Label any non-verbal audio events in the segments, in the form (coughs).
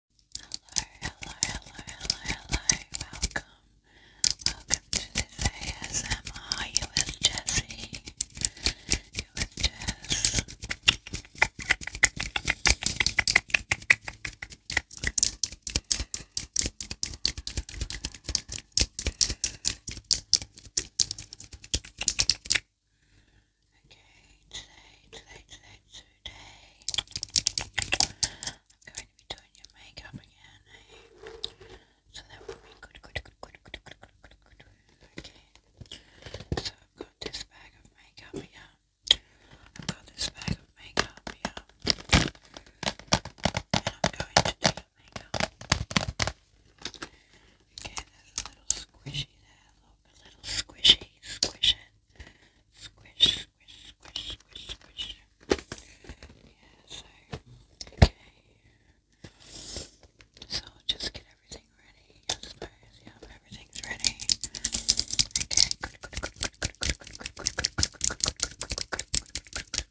hello, hello, hello, welcome. Welcome to this ASMR. You with Jessie. You with Jess. Okay, today, today, today, today. I'm going to be doing your makeup again, So that will be good, good, good, good, good, good, good, good, good. Okay. So I've got this bag of makeup here. I've got this bag of makeup here. And I'm going to do your makeup. Okay, there's a little squishy there a little squishy, squish it, squish, squish, squish, squish, squish. Yeah, so, okay. So I'll just get everything ready, I suppose. Yeah, everything's ready. Okay, good, good, good, good, good, good, good, good, good, good, good, good, good, good, good, good, good, good,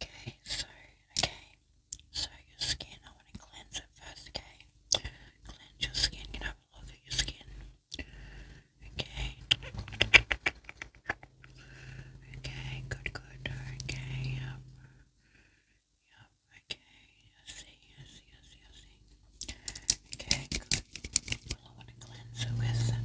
Okay, so, okay. So your skin, I want to cleanse okay? Cleanse your skin, you know, look at your skin. Okay. Okay, good, good, okay, yep. Yep, okay, I see, I see, Okay, good. Well, I to cleanse it with some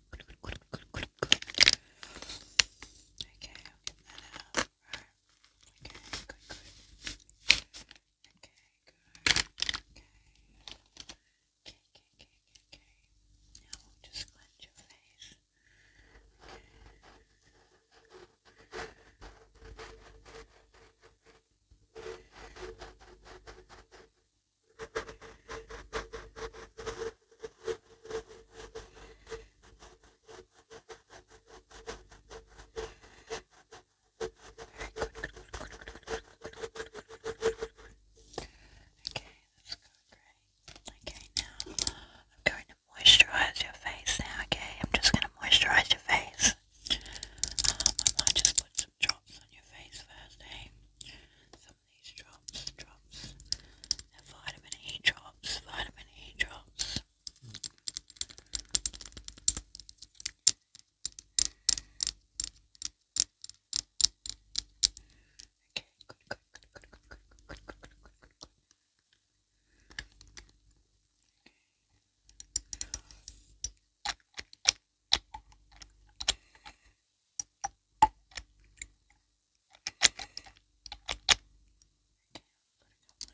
Okay, I'll get that Okay, Okay, Okay. Okay, okay, okay, okay. Now just cleanse your face. Okay, that's great. Okay, now I'm going to moisturize your face now, okay? I'm just going to moisturize your face. Um, I might just put some drops on your face first, eh? these drops, drops, and vitamin E drops, vitamin E drops. Okay, good, good, good, good, good, good, good, good, good, good, couple of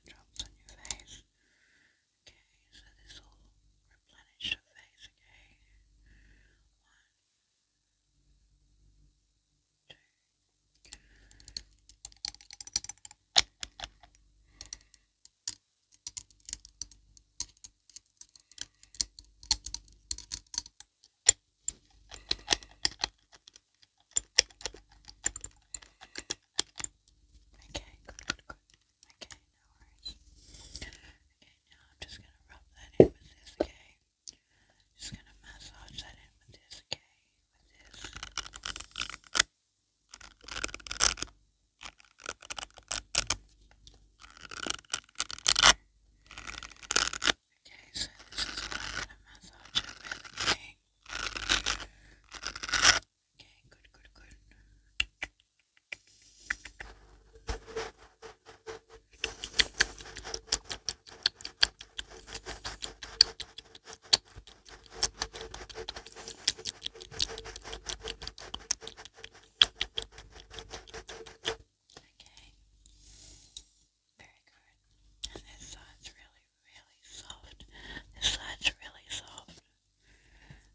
drops on your face. Okay, so this will replenish your face, okay? One, two. Okay, Okay, good, good, good. Okay, no worries. Okay, now I'm just gonna rub that in with this, okay? Just gonna massage that in with this, okay? With this. Okay, so this is what I'm gonna massage it with, okay? Okay, good, good, good. Okay. Very good. And this side's really, really soft. This side's really soft.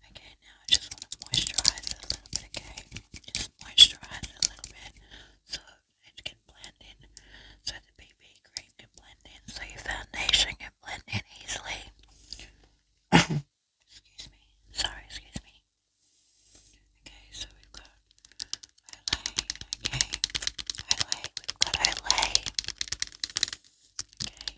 Okay, now I just want to moisturize a little bit, okay? Just moisturize a little bit so it can blend in. So the BB cream can blend in. So your foundation can blend in easily. (coughs) excuse me. Sorry, excuse me. Okay, so we've got LA, okay, LA, we've got LA, okay. Okay,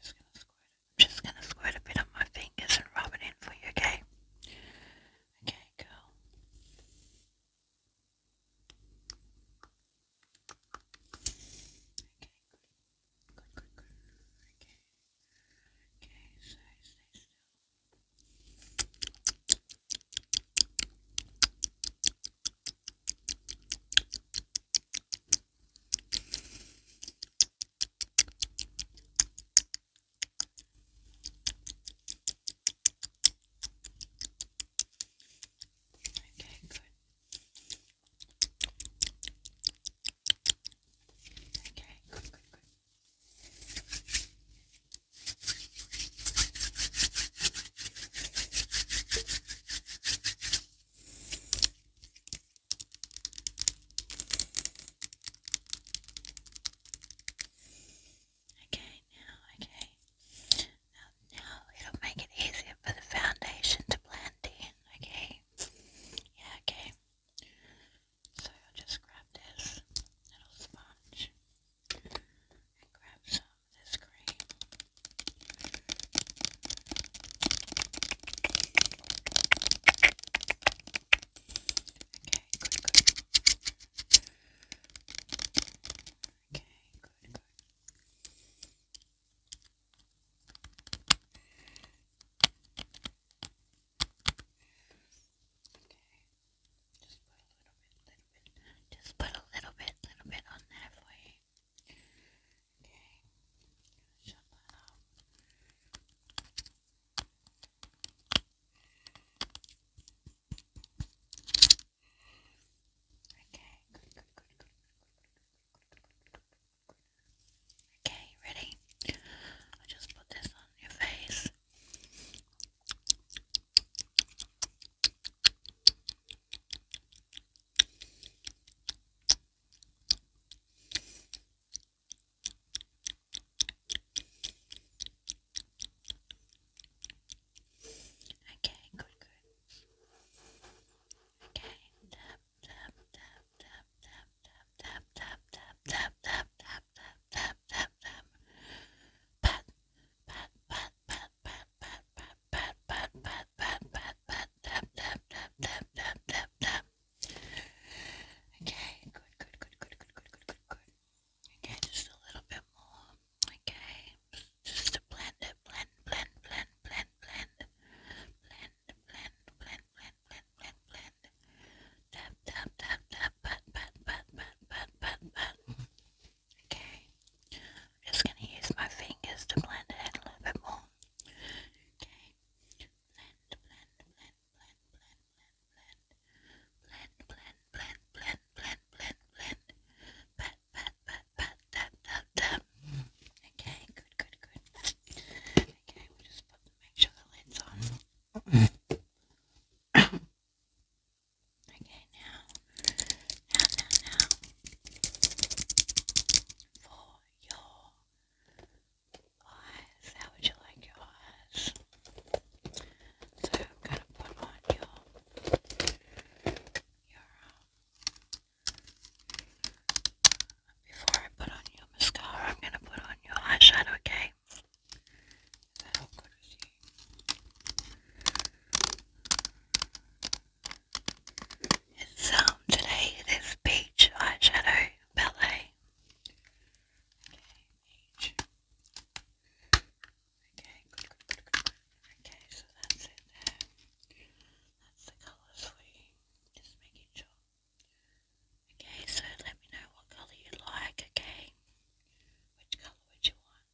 just gonna squirt I'm just going to squirt a bit on my fingers and rub it in for you, okay? Okay, girl. Okay, good. Good, good, Okay. Okay, so Okay, Okay, good. Okay, good, good, good. Okay, now, okay. Now, it'll make it easier for the foundation to blend in, okay? Yeah, okay. So I'll just grab this little sponge and grab some of this cream. Okay, good, good. Okay, good, good. Okay. Just put a little bit, little bit. Just put a little bit, little bit on there for you. Okay. Shut that off. Okay, good, good, good, good, Okay, ready? I'll just put this on your face. Okay, good, good. Okay, tap, tap, tap, tap, tap, tap, tap, tap, tap, tap, tap, tap, tap, tap, tap, pat, pat, pat, pat, tap, tap, tap, tap, tap, tap, tap. Okay, good, good, good, good, good, good, good, good, Okay, just a little bit more. Okay, just blend it, blend, blend, blend, blend, blend, blend, blend, blend, blend, blend, blend, blend. Tap, tap, tap, tap, pat, pat, pat, pat, Okay, just gonna use my fingers to blend it a little bit more. Okay, blend, blend, blend, blend, blend, blend, blend, blend, blend, blend, blend, blend, blend, blend, pat, pat, pat, Okay, good, good, good. Okay, we just make sure the lid's on. okay, now, now, now, now, for your eyes. How would you like your eyes? So I'm going to put on your, your before I put on your mascara, I'm going to put on your eyeshadow, okay? that all good with you? so um, today it is Peach Eyeshadow Ballet. Okay, Okay, Okay, so that's it there. That's the colours for Just making sure. Okay, so let me know what colour you like, okay? Which colour would you want?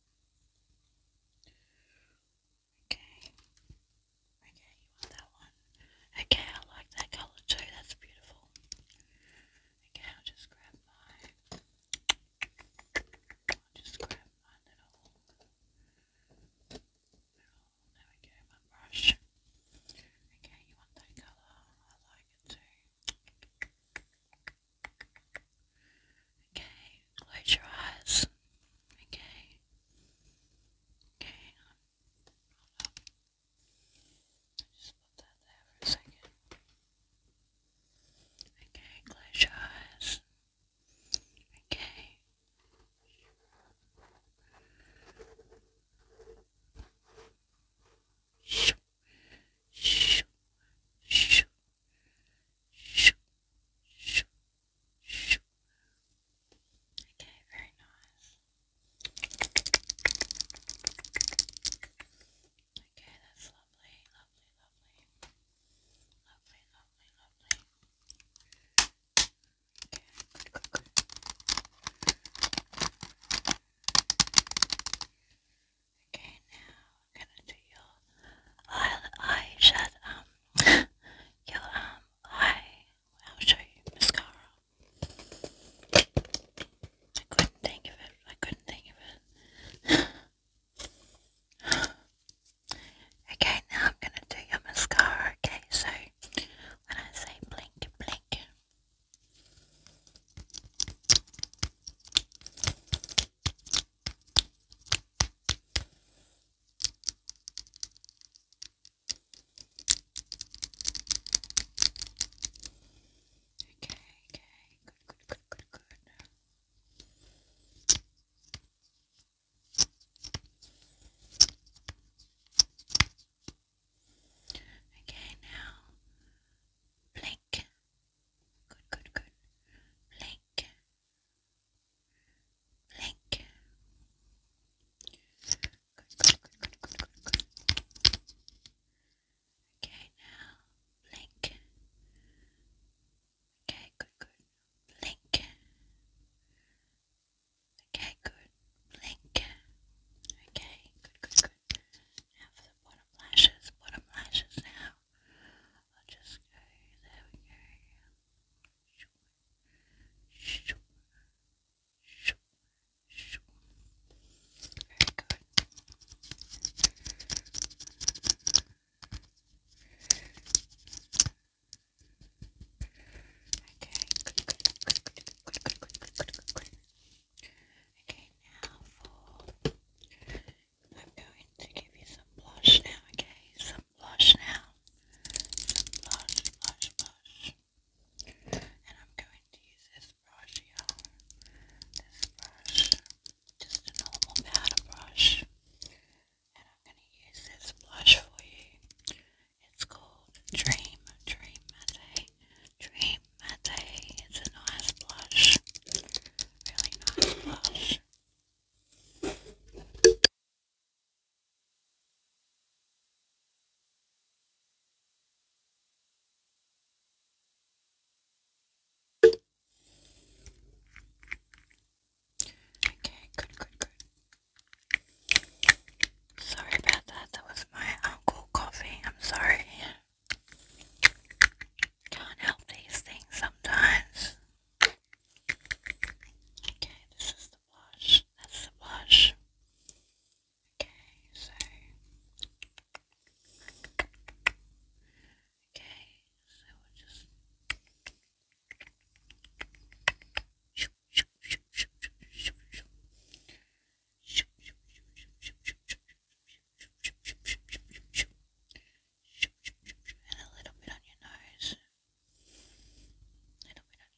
Okay. Okay, you want that one. Okay, I like that colour too. That's beautiful. Okay, I'll just grab my. I'll just grab my little. there we go, my brush. Okay, you want that colour? I like it too. Okay, close your eyes. Okay. Okay, just put that there for a second. Okay, close your eyes. Okay. Shoo, shoo, shoo, shoo, shoo, shoo. Okay, very nice. Okay, that's lovely, lovely, lovely. Lovely, lovely, lovely. Okay, now I'm gonna do your eye, eye shut, um, your, um, eye, I'll show you mascara. I couldn't think of it. I couldn't think of it. (sighs) okay, now I'm gonna do your mascara. Okay, so when I say blink, blink. Okay, okay, good, good, good, good, good. Okay, now blink. Good, good, good. Blink. Blink good, good, Okay, now blink. Okay, good, Blink. Okay, good. Blink. Okay, good, good, good. Now for the bottom lashes, bottom lashes now. I'll just go, there we go. Sure. Very good. Okay, good, good, good, Okay, now for I'm going to give you some blush now, okay? Some blush now. blush, blush, blush. And I'm going to use this brush here. This brush, just a normal powder brush. And I'm going to use this blush for you. It's called Dream, Dream Matte. Dream Matte. It's a nice blush. Really nice blush. Okay, good, good, good. Sorry about that. That was my uncle coughing. I'm sorry. Can't help these things sometimes. Okay, this is the blush. That's the blush. Okay, so. Okay, so we'll just. And a little bit on your nose. A little bit on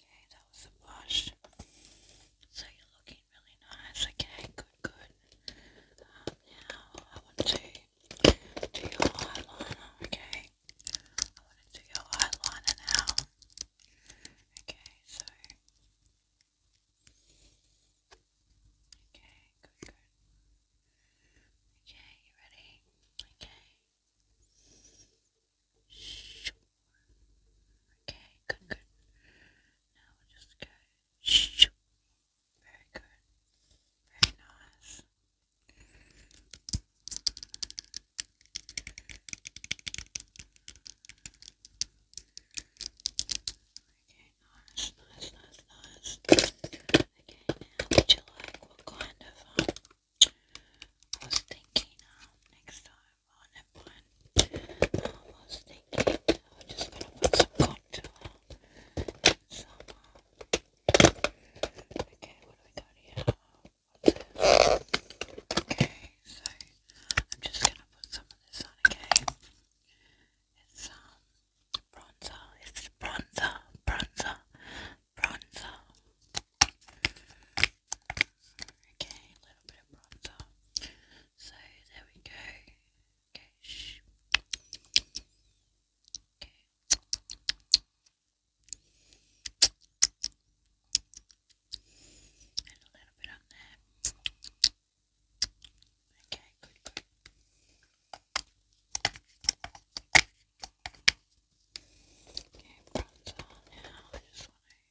Okay, that was the wash. So you're looking really nice. Okay, good, good. Um, now I want to do your eyeliner. Okay, I want to do your eyeliner now. Okay, so. Okay, good, good. Okay, you ready? Okay. Okay, good, good. Now we just go. Very good. Very nice. Okay, nice, nice, nice, nice. Okay, now would you like what kind of um, I was thinking um next time on it, but I am just going to put some contour some. Uh, okay, what do we got here? Okay, so I'm just going to put some of this on, okay? It's um bronzer, it's bronzer, bronzer, bronzer. Okay, a little bit of bronzer. So there we go. Okay. Okay. And a little bit on there. Okay, good, good. Okay, bronzer now. I just want to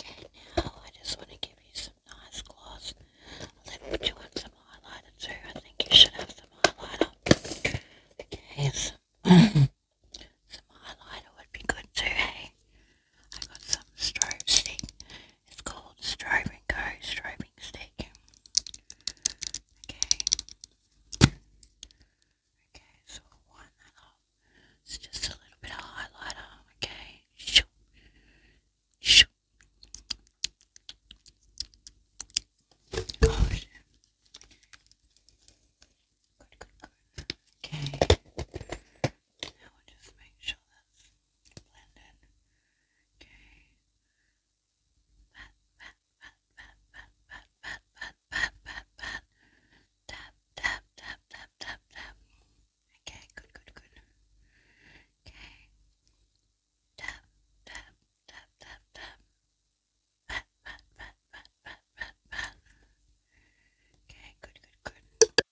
Okay, now I just want to give you some nice gloss. I'll put you on some highlighter too. I think you should have some highlighter. Okay, some, (clears throat) some would be good too, hey? I got some strobe stick. It's called Strobe and Strobing Stick. Okay. Okay, so one it's just a little bit of highlighter, okay? Shoo. Shoo. Oh, shit. Good, good, good. Okay. Now we just make sure that's blended. Okay. Pat, pat, pat, pat, pat, pat, pat, Tap, tap, tap, tap, tap, tap. Okay, good, good, good. Okay. Tap, tap, tap, tap, tap. Pat, pat, pat, pat, pat, Okay, good, good, good.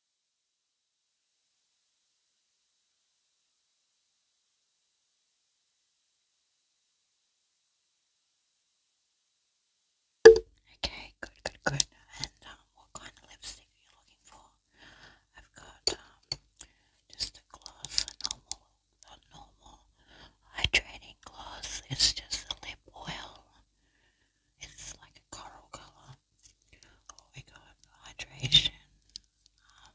Okay, good, good, good. And um, what kind of lipstick you looking for? I've got um, just a gloss, normal, a normal hydrating gloss. It's just a lip oil. It's like a coral color. Oh, we got hydration, um,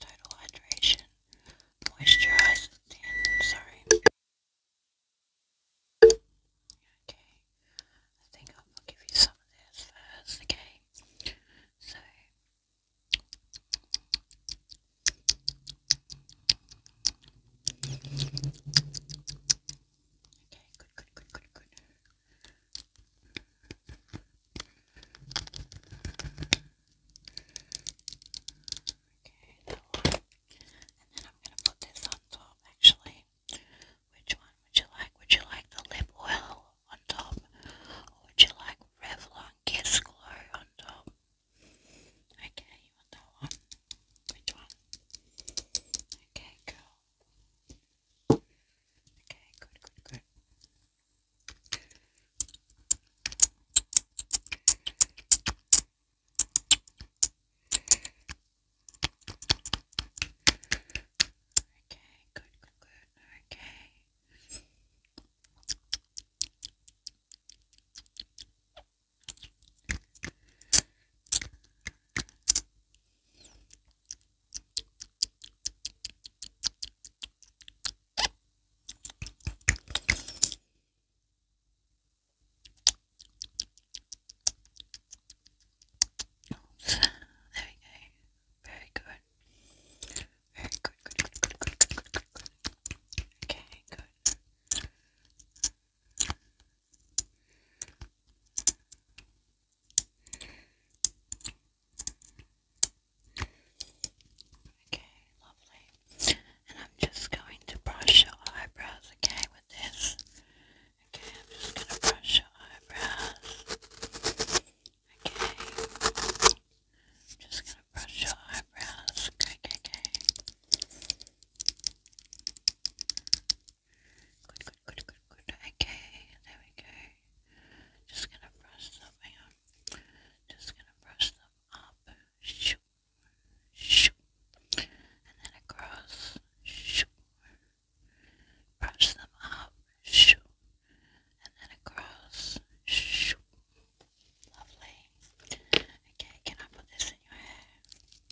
total hydration, moisturizer, sorry. Okay, I think I'll give you some of this first, okay? So, okay, good, good, good, good, good. Okay, And then I'm going to put this on top actually. Which one would you like? Would you like the lip oil on top? Or would you like Revlon Kiss Glow on top? Okay, you want that one? Which one? Okay, cool. Okay, good, good, good. Okay, good, good, good. Okay. There we go. Very good. Very good, good, good, good, Okay, good. Okay, lovely. And I'm just going to brush your eyebrows, okay, with this. Okay, I'm just gonna brush your eyebrows. Okay. I'm just gonna brush your eyebrows. Okay, okay, okay. Good, good, good, good, good. Okay, there we go. Just gonna brush them Just gonna brush them up. Shoot, shoot and then across, shoo, brush them up, shoo, and then across, shoo. Lovely. Okay, can I put this in your hair?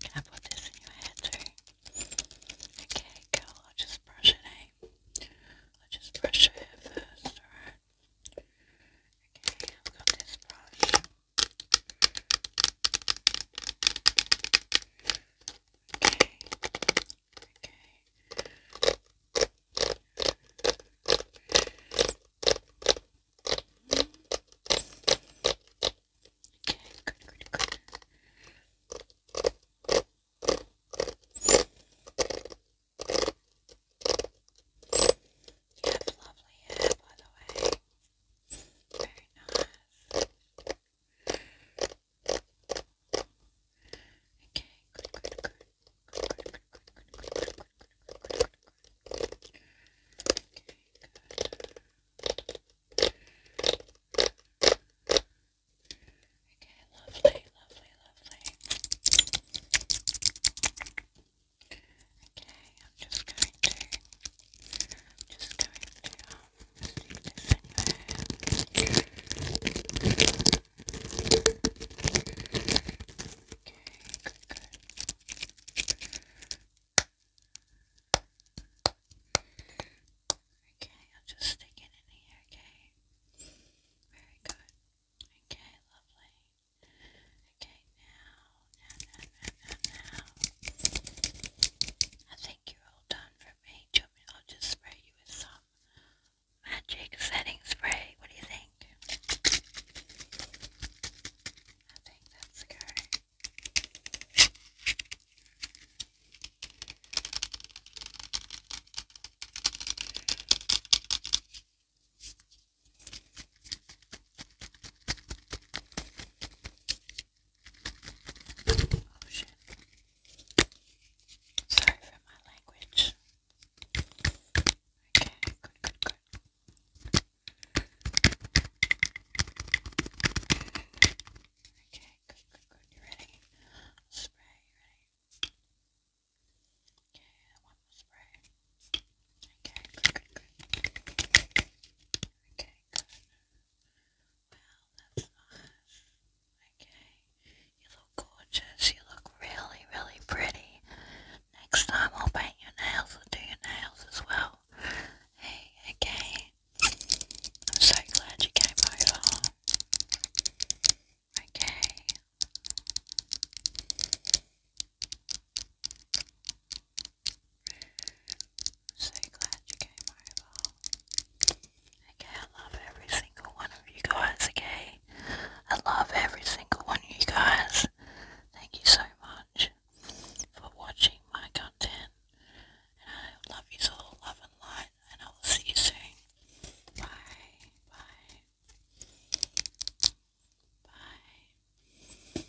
Can I put this in your hair too? Okay, girl, I'll just brush it, eh? I'll just brush your hair first, alright? Okay, I've brush good, good. You have lovely hair, by the way. Very nice. Okay, good, good, good. Okay, lovely, lovely, lovely. Okay, I'm just going to, just going to, um, stick this in there. Okay, good, Okay, I'll just stick it in here, okay? Very good. Okay, lovely. Okay, now I think you're all done for me. Do I'll just spray you with some magic setting spray. What do you think? I think that's good. Sorry for my language. Okay, good, good, good. Okay, good, good, good. You ready? Spray, ready? Okay, one more spray. Okay, good, good, good. Okay, good. that's nice. Okay, you look gorgeous. You look really, really pretty. Next time I'll paint your nails and do your nails as well. Hey, okay. I'm so glad you came over. Okay. So glad you came over. Okay, I love every single one of you guys, okay? I love every single one of you guys. Thank you so much for watching my content. And I love you all, love and light, and I will see you soon. Bye, bye, bye.